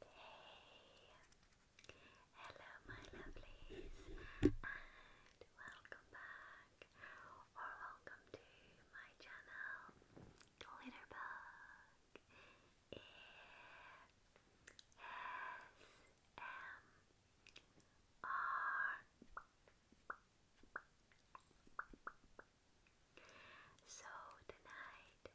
Hello, my lovelies, and welcome back or welcome to my channel, Glitterbug ASMR. So, tonight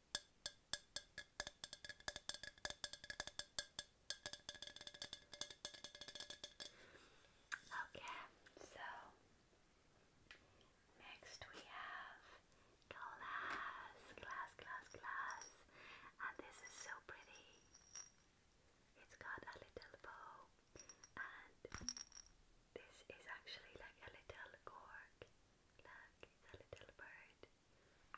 Okay, so next we have glass, glass, glass, glass, and this is so pretty. It's got a little bow, and this is actually like a little cork. Look, a little bird tweet, tweet,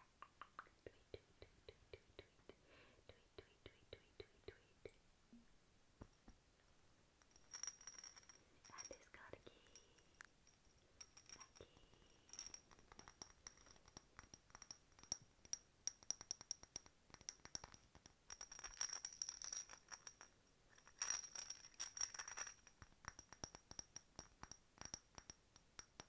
tweet, tweet, tweet, tweet, tweet, tweet, tweet. And it's got a key. A key. Thank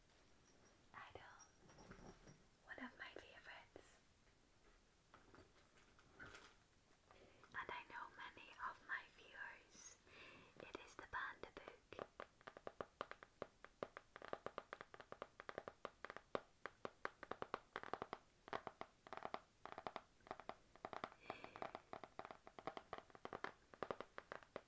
Idol, one of my favorites. And I know many of my viewers. It is the Panda Book.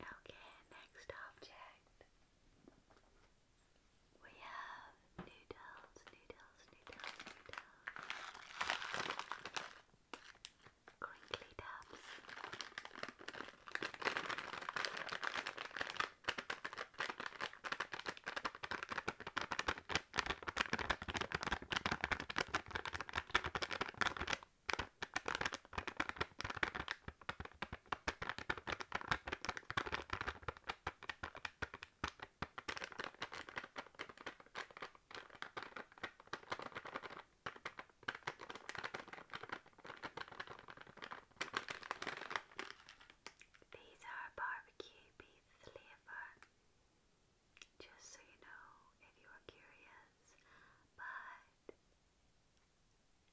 Okay, next object. We have noodles, noodles, noodles, noodles. Crinkly tubs. These are barbecue beef flavour. Just so you know, if you are curious, but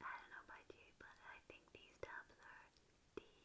I don't know about you, but I think these tabs are delicious.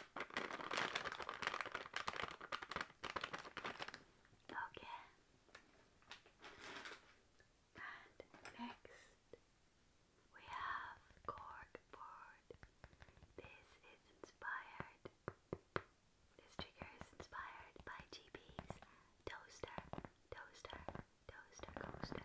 Okay. And next we have cardboard. This is inspired. This trigger is inspired by GB's toaster, toaster, toaster coaster.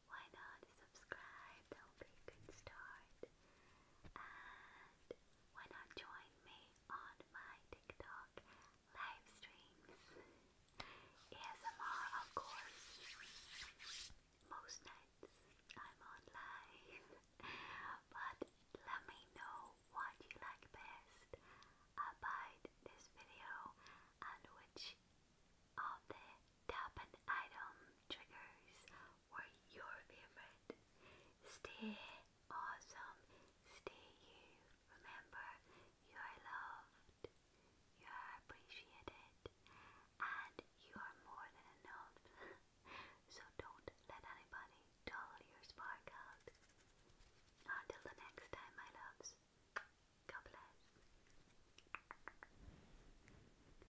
why not subscribe? That would be a good start. And why not join me on my TikTok live streams? ASMR, of course. Most nights I'm on live. but let me know what you like best about this video and which of the tap item triggers or your favorite. Stay awesome. Stay you. Remember, you are loved, you are appreciated, and you are more than enough. so don't let anybody dull your spark out. Until the next time, my loves. God bless.